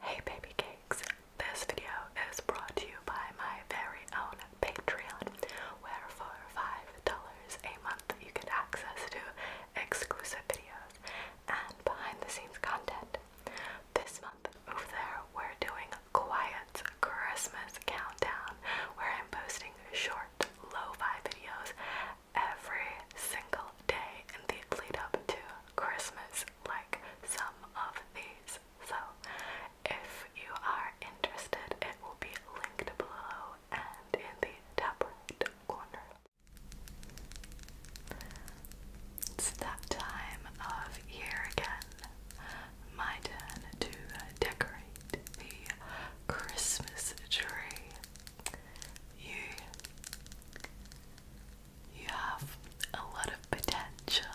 Hey baby cakes, this video is brought to you by my very own Patreon, where for $5 a month you get access to exclusive videos and behind the scenes content. This month over there we're doing a quiet Christmas Countdown, where I'm posting short low fi videos every single day in the lead up to Christmas like some of these. So if you are interested, it will be linked below and in the top corner. It's that time of year again. My turn to decorate the Christmas tree. You you have a lot of potential.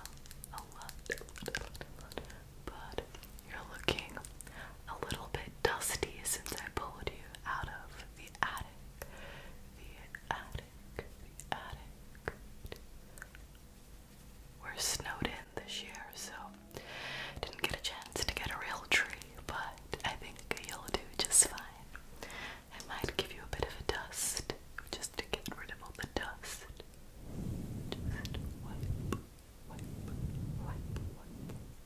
A lot, a But you're looking a little bit dusty since I pulled you out of the attic. The attic, the attic. We're snowed in this year, so didn't get a chance to get a real tree, but I think you'll do just fine. I might give you a bit of a dust just to get rid of all the dust.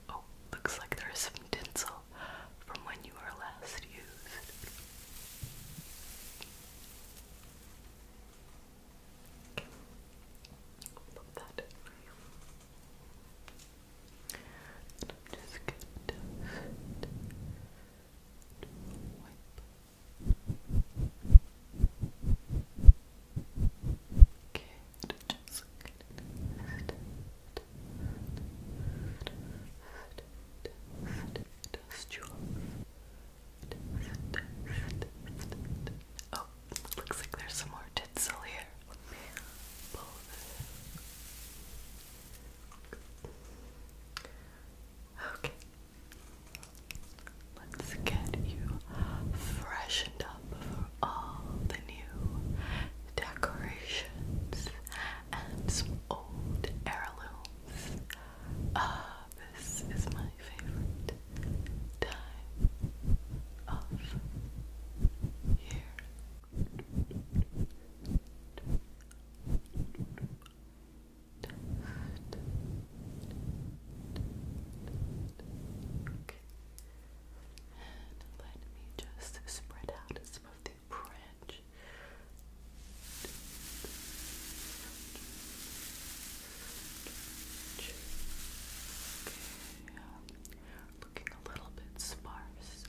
Oh, looks like there is some tinsel from when you were last used. Love that. I'm just going to wipe. Okay, just going to dust Oh, looks like there's some more tinsel here. Okay. Let's get you freshened up for all the new decorations and some old heirlooms. Ah, this is my favorite time of year. And let me just spread out some of the branch. Okay, um, looking a little bit sparse.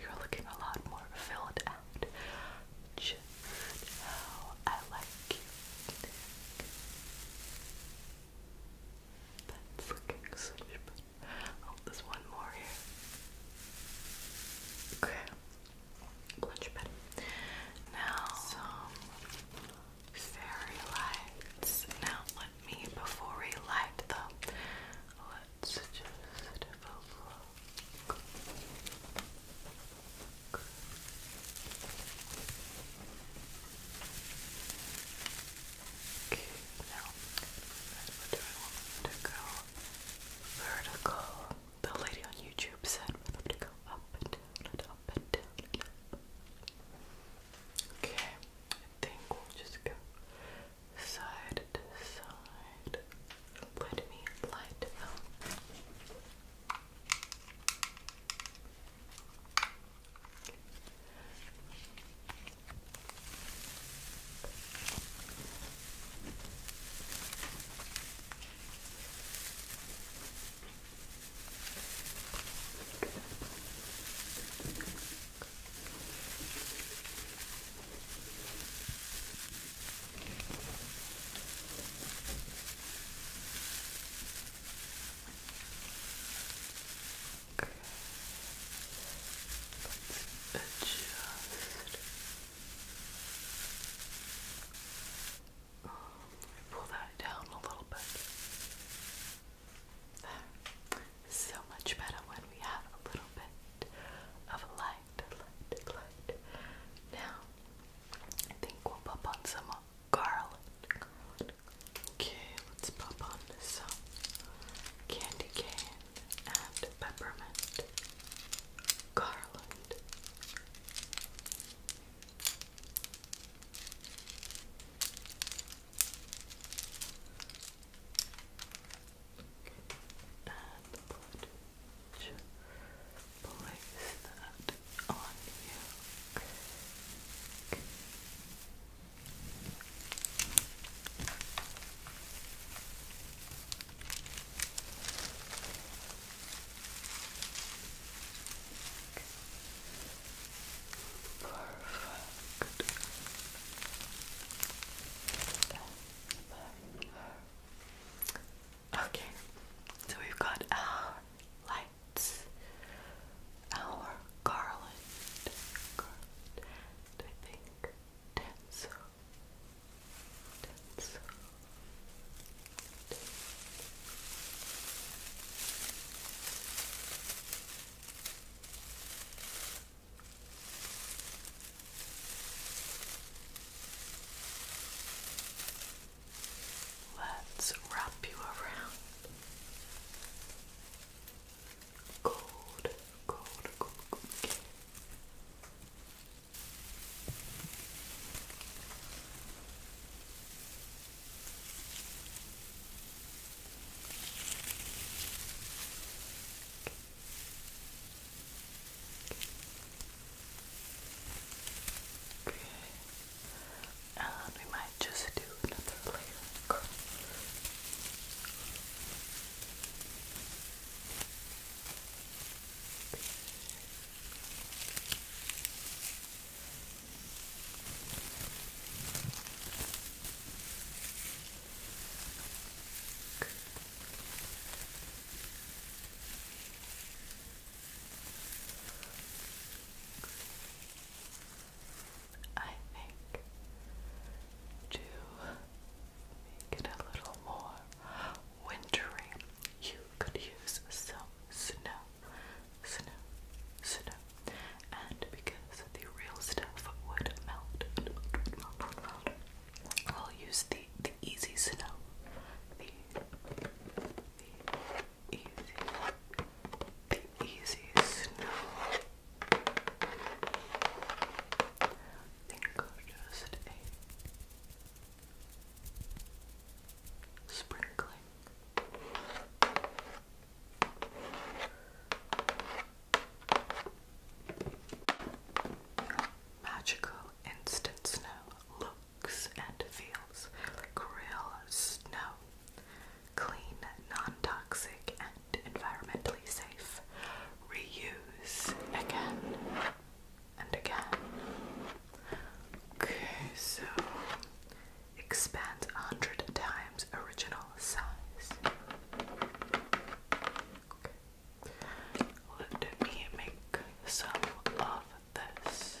you're looking a lot more filled out. Just how I like you. That's looking such a bit. Oh, there's one more here. Okay. Much better. Now, some fairy lights. Now, let me, before we light them, had such Okay, now we're doing want to go vertical. The lady on YouTube said for them to go up and down up and down Okay, I think we'll just go side to side. Let me light them. Okay. Let's adjust. Um, pull that down a little bit. There. So much better when we have a little bit of light. Now, I think we'll pop on some garlic. Okay, let's pop on some candy cane and peppermint garland and the place that on you. Perfect. Perfect. Okay, so we've got our uh, lights, our garland, garland, and tinsel, tinsel. Let's wrap you around. Cold, cold, cold, cold. Okay. And uh, we might just do another layer Okay. I think to make it a little more wintry, you could use some snow, snow, snow, and because the real stuff would melt, I'll use the the easy snow. The, easy the easy snow. think i just a sprinkling magical instant snow looks and feels like real snow. Clean, non toxic, and environmentally safe. Reuse again and again. Okay, so expands 100 times original size. Okay. Let me make some of this.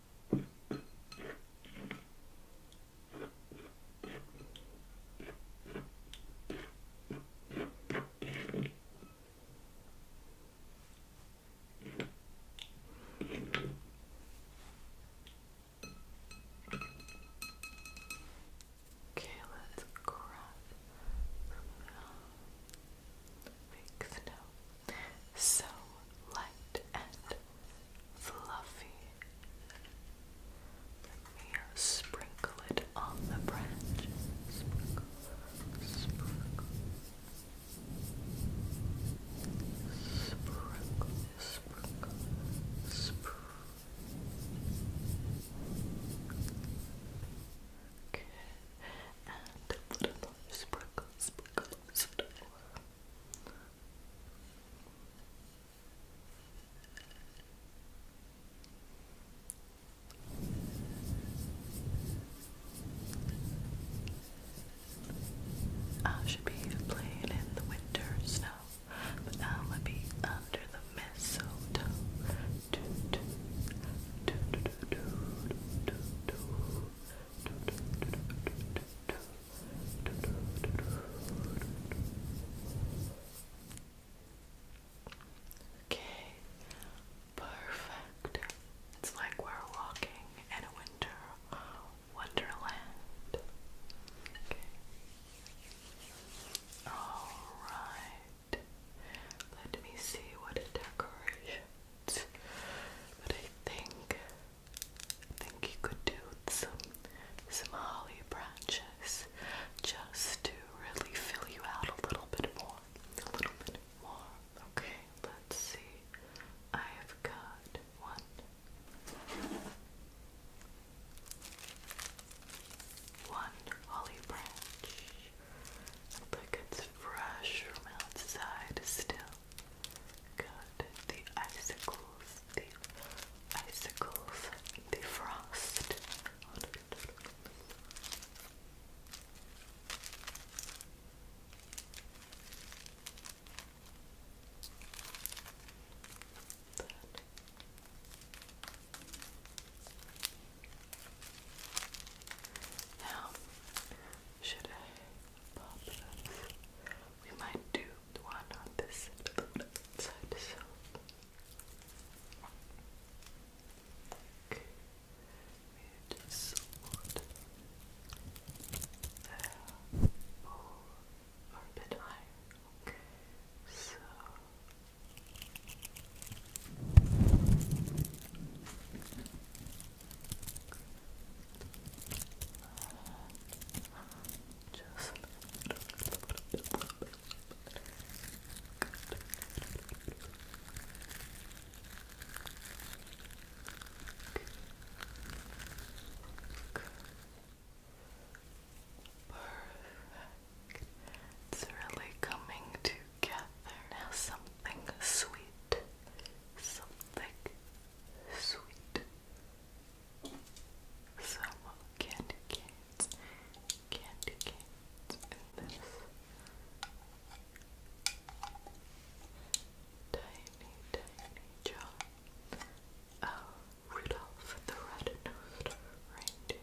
Okay, let's grab some mixed up. So light and fluffy. Let me uh, sprinkle it on the branch. Sprinkle, sprinkle, sprinkle, sprinkle, sprinkle. Okay, and put another sprinkle, sprinkle, sprinkle. I should be playing in the winter snow, but now I'll be under the mistletoe. Okay, perfect. It's like we're walking in a winter wonderland. Alright. Let me see what decorations. But I think I think you could do some some holly branches just to really fill you out a little bit more. A little bit more. Okay, let's see. I have got one. One holly branch. Look, it's fresh from outside still. Good. The icicles, the icicles, the frost. should I pop this we might do one on this side. So. Okay. We just want the bowl or a bit higher. Okay. So. Just Perfect. It's really coming together. Now something sweet. Something sweet some candy canes, candy canes in this tiny, tiny jar. Oh, Rudolph the Red-Nosed Reindeer.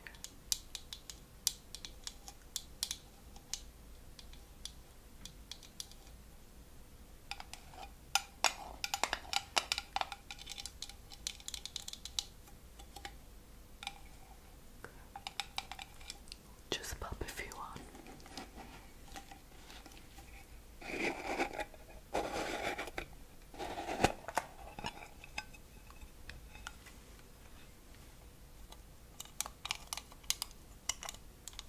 Just pop a few on let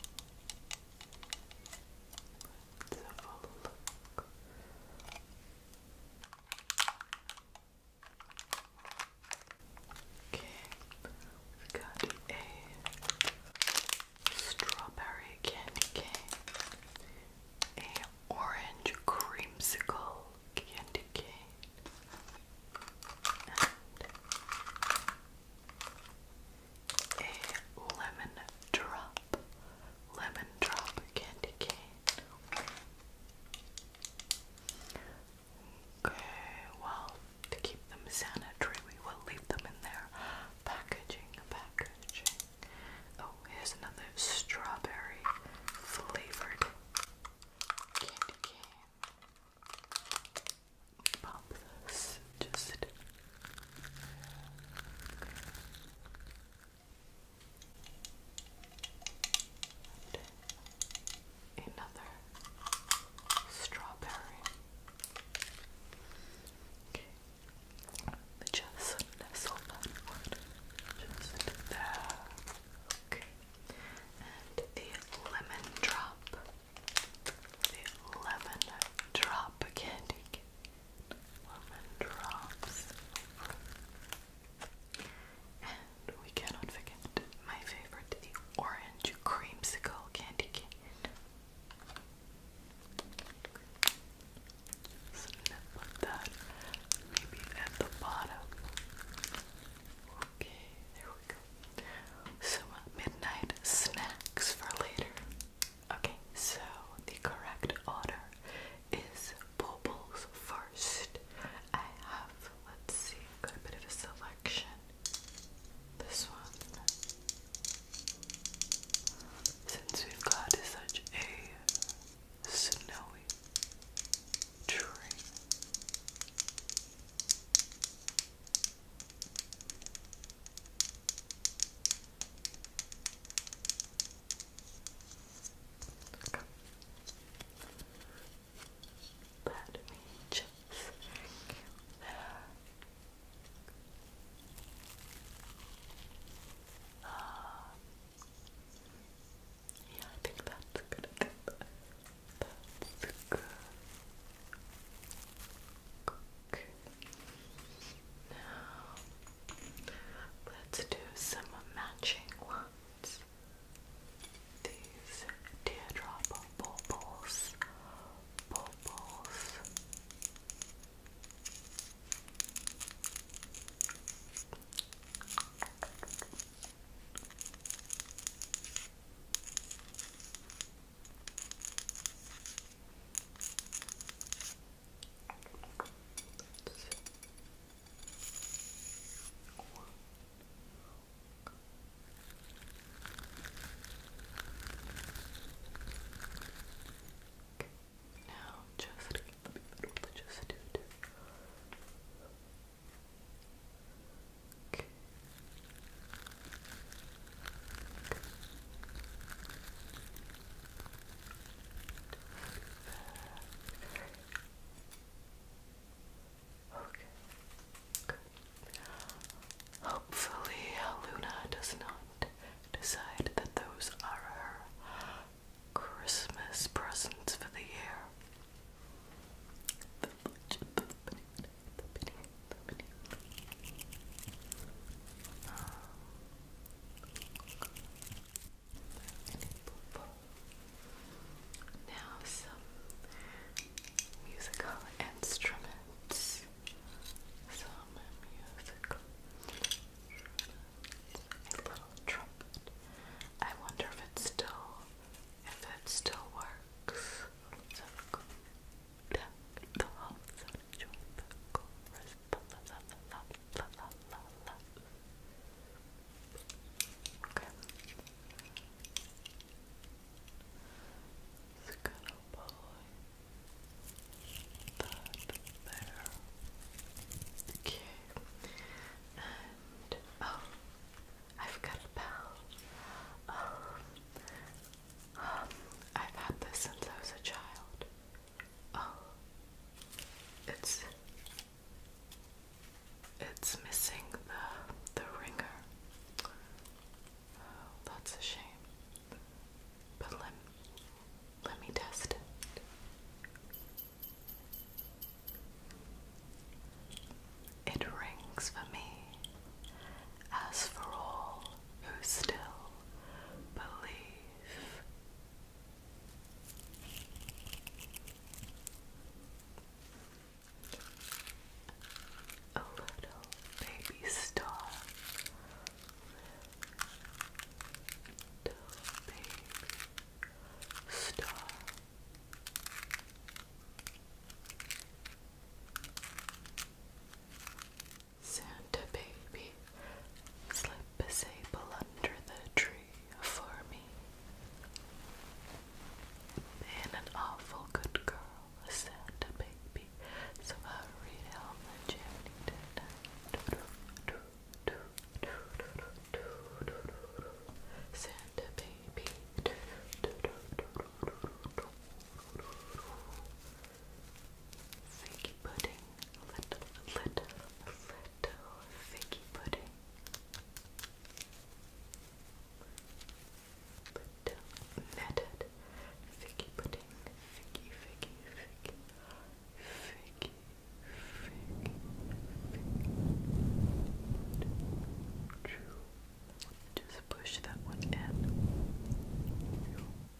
look. Okay, we got a strawberry candy cane, a orange creamsicle candy cane, and a lemon drop, lemon drop candy cane. Okay, well, to keep them sanitary, we will leave them in their packaging. Packaging. Oh, here's another strawberry flavored candy cane. Pop this just another strawberry. Okay. Just nestle Just there. Okay. And the lemon drop. The lemon drop candy woman drops and we cannot forget my favorite, the orange creamsicle candy cane. Snip that, maybe at the bottom. Okay, there we go. Some midnight snacks for later. Okay, so the correct order is bubbles first. I have, let's see, got a bit of a selection. This one. Since we've got such a snowy tree. Okay. Let me just there. Uh, yeah, I think that's good. That's good cook. Now, let's do some matching ones. These teardrop bubbles, bubbles. Now just keep it just do it. Okay. Hopefully, Luna does not decide that those are her Christmas presents for the year purple. Now some musical instruments. Some musical instruments. A little trumpet. I wonder if it's still if it still works the halls and enjoy the chorus. La, la, la, la, la, la. Okay. It's gonna buy that there. Okay. And oh, I've got a Um, I've had this since a child. Oh, it's it's missing the the ringer. Oh, that's a shame. But let let me test it. It rings for me, as for all who still believe. A little baby star, little baby star. Santa baby, slip a sable under the tree for me. Been an awful good girl, Santa baby, so hurry down the chimney tonight. Santa baby figgy pudding, little, little, little figgy pudding. Little netted figgy pudding, figgy, figgy, figgy, figgy, figgy, figgy. Just push that one in.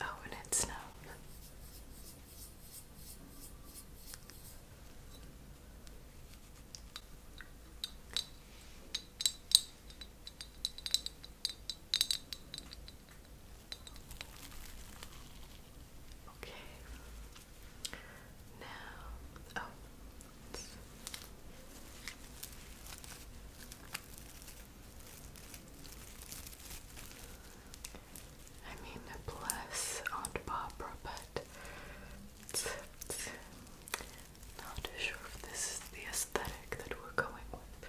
Oh, and it snowed. Okay. Now, oh, I mean, bless Aunt Barbara, but not sure if this is the aesthetic that we're going with.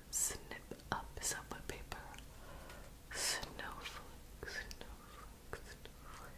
snip up subway paper. Snowflake, snowflake, snowflake.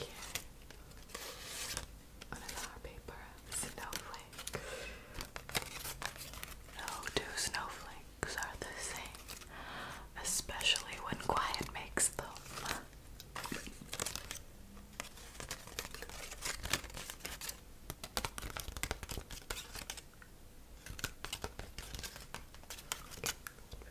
Okay. Another paper snowflake. No two snowflakes are the same, especially when quiet makes them.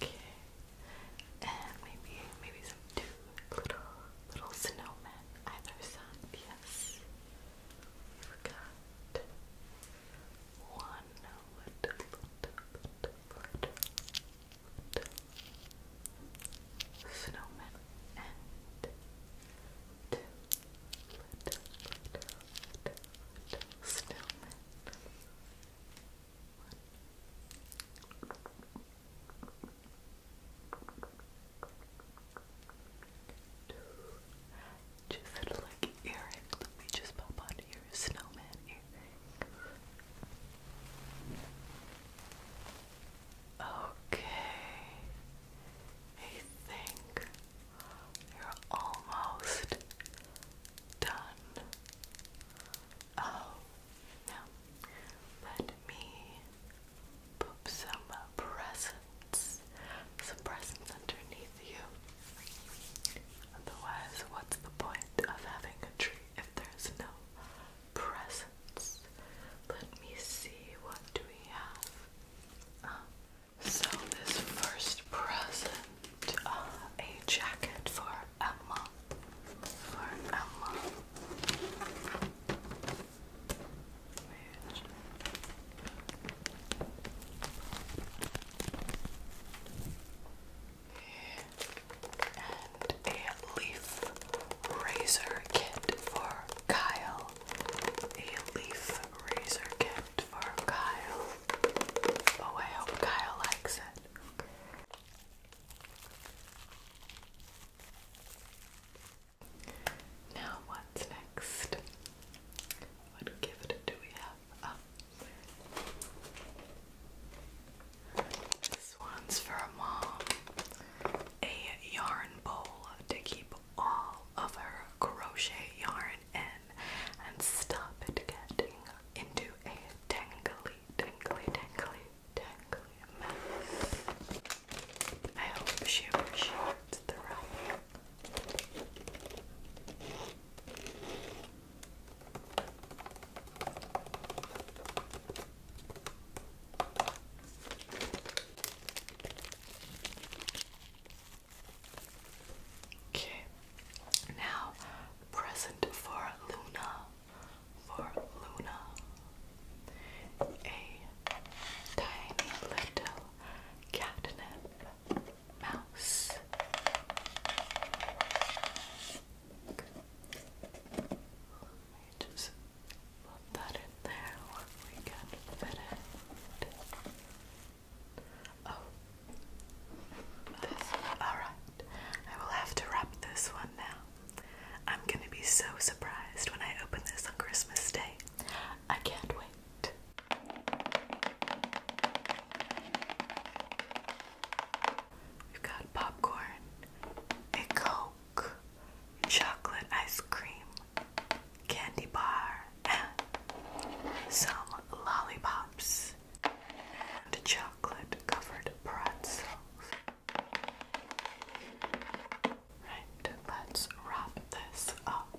Okay, and maybe maybe some two little little snowmen either side. Yes, forgot one little snowmen and two little, snowmen. Two. Just like earring. Let me just pop on your snowman earring. Okay, I think you're almost done. Oh, now let me put some presents, some presents underneath you. Otherwise, what's the point of having a tree if there's no presents. Let me see what do we have. Um, so this first present, uh, a jacket for Emma. For Emma a leaf razor kit for Kyle. A leaf razor kit for Kyle. Oh, I hope Kyle likes it. Now, what's next? What gift do we have? Oh one's for a mom. A yarn bowl to keep all of her crochet yarn in and stop it getting into a tangly, tangly, tangly, tangly mess. I hope she appreciates the wrapping. Okay, now present for Luna, for Luna, a tiny little catnip mouse just put that in there when we can fit it. Oh, this. All right. I will have to wrap this one now. I'm gonna be so surprised when I open this on Christmas Day. I can't wait. We've got popcorn, a coke chocolate ice cream, candy bar, some lollipops, and chocolate covered pretzels. Right, let's wrap this up.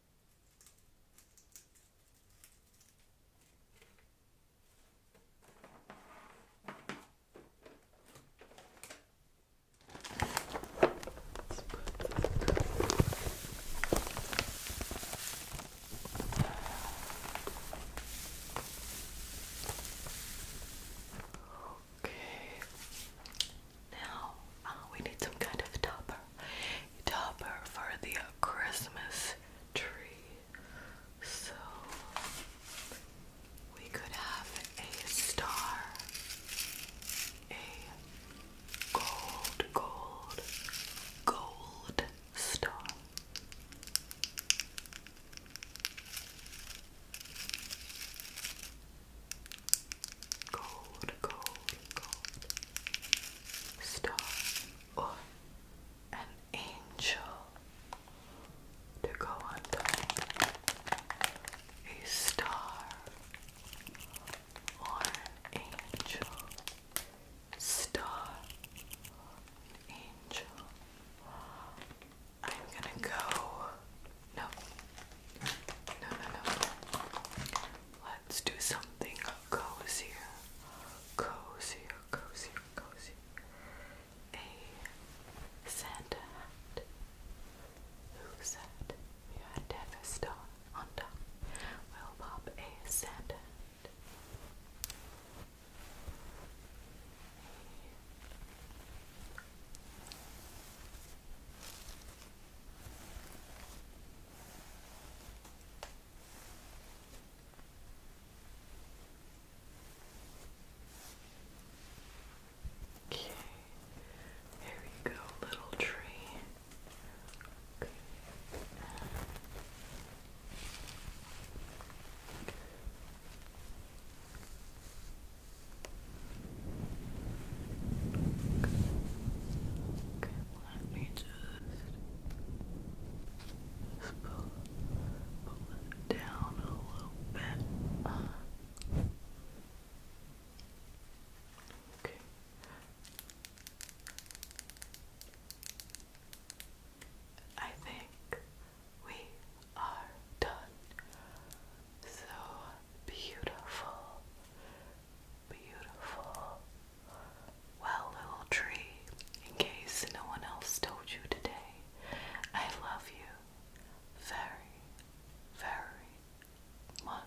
Okay. Now uh, we need some kind of topper topper for the Christmas tree. So we could have a star, a gold, gold, gold star. Gold, gold, gold star or an angel to go under a star or angel star angel I'm gonna go no no no no Let's do something cozier, cozier, cozier, cozier. A Santa hat. Who said you had to have a star on top? We'll pop a Santa hat. Okay, there we go, little tree. Okay. Okay let me just pull, it down a little bit. Okay. I think we are done. So beautiful, beautiful, well, little tree, in case no one else told you today, I love you very, very much.